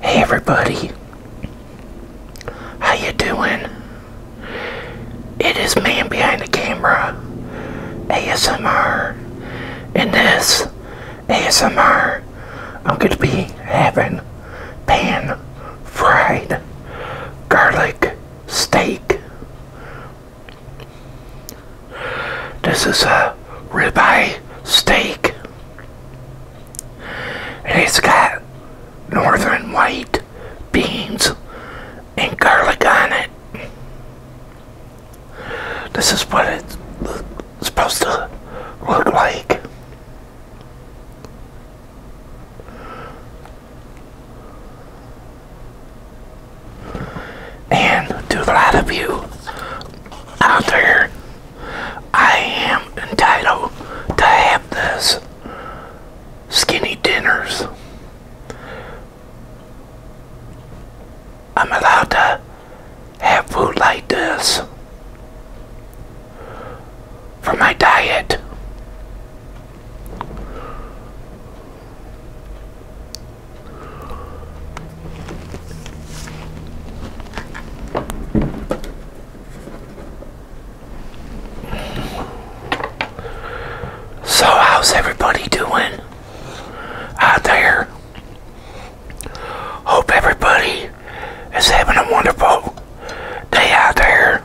Hey everybody, how you doing? It is man behind the camera, ASMR, and this ASMR, I'm going to be having pan-fried garlic steak this is a ribeye steak. And it's got northern white beans and garlic on it. This is what it's supposed to look like. And do a lot of you out there, I am entitled to have this skinny dinners. I'm allowed to have food like this for my diet. So, how's everybody doing out there? Hope everybody is having a wonderful day out there.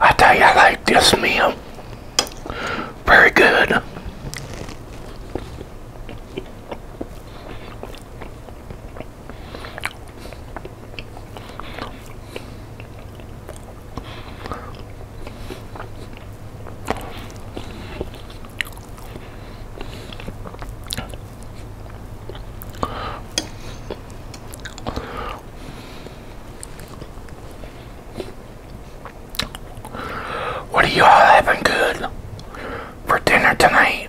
I tell you, I like this meal. Very good. What are y'all having good for dinner tonight?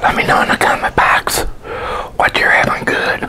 Let me know in the comment box what you're having good.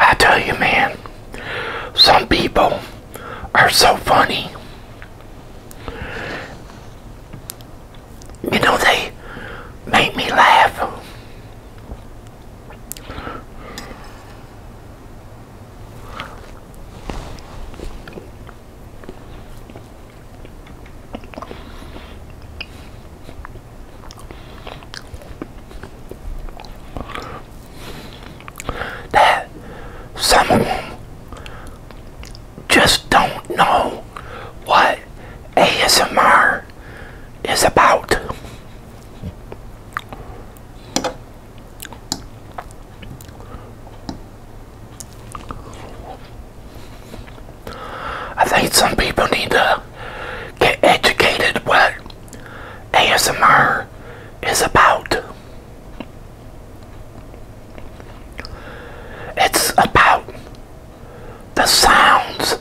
I tell you, man, some people are so funny. You know, they make me laugh. That some just don't know what ASMR War is about. I think some people need to get educated what ASMR is about. It's about the sounds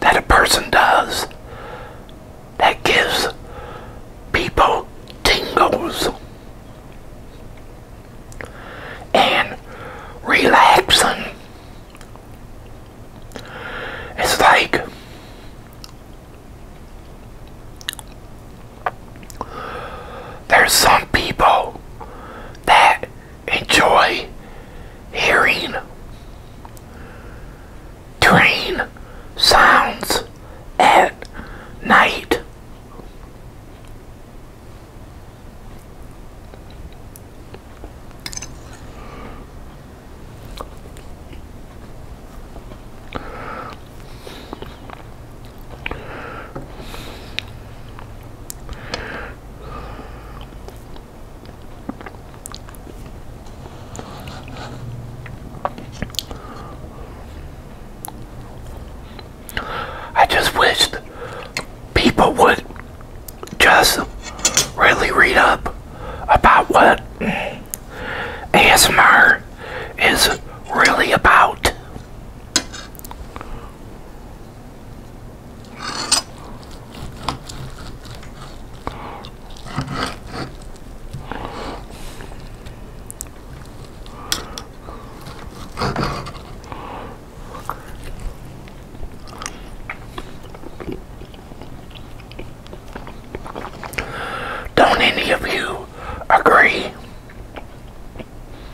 that a person does that gives people tingles and relaxing. It's like there's some people that enjoy hearing train sounds at night. I just wished people would just really read up about what ASMR is really about. Don't any of you agree?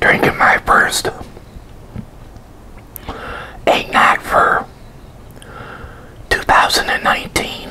Drinking my first eight night for 2019.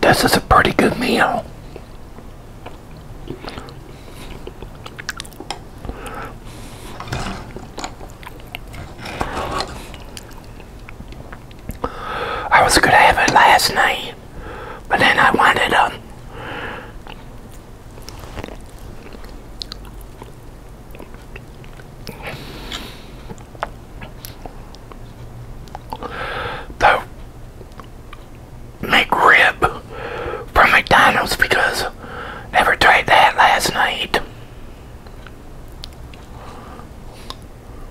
This is a pretty good meal. I was gonna have it last night. But then I wanted um the McRib from McDonald's because never tried that last night.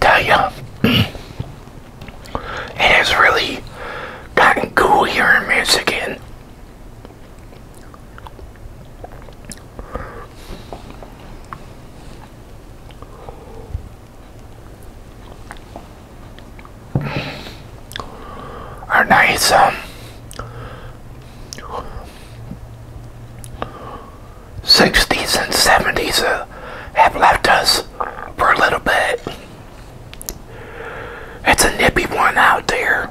Tell you, it has really gotten cool here in Michigan are nice um, sixties and seventies uh, have left us for a little bit. It's a nippy one out there.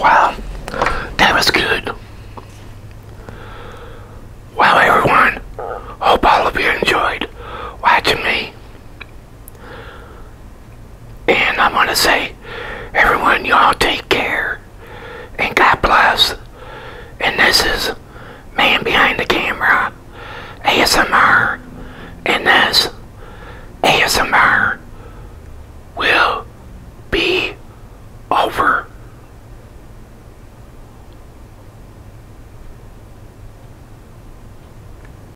Wow, that was good. Well, everyone, hope all of you enjoyed watching me and I am going to say, everyone, y'all take care. And God bless. And this is Man Behind the Camera, ASMR. And this ASMR will be over.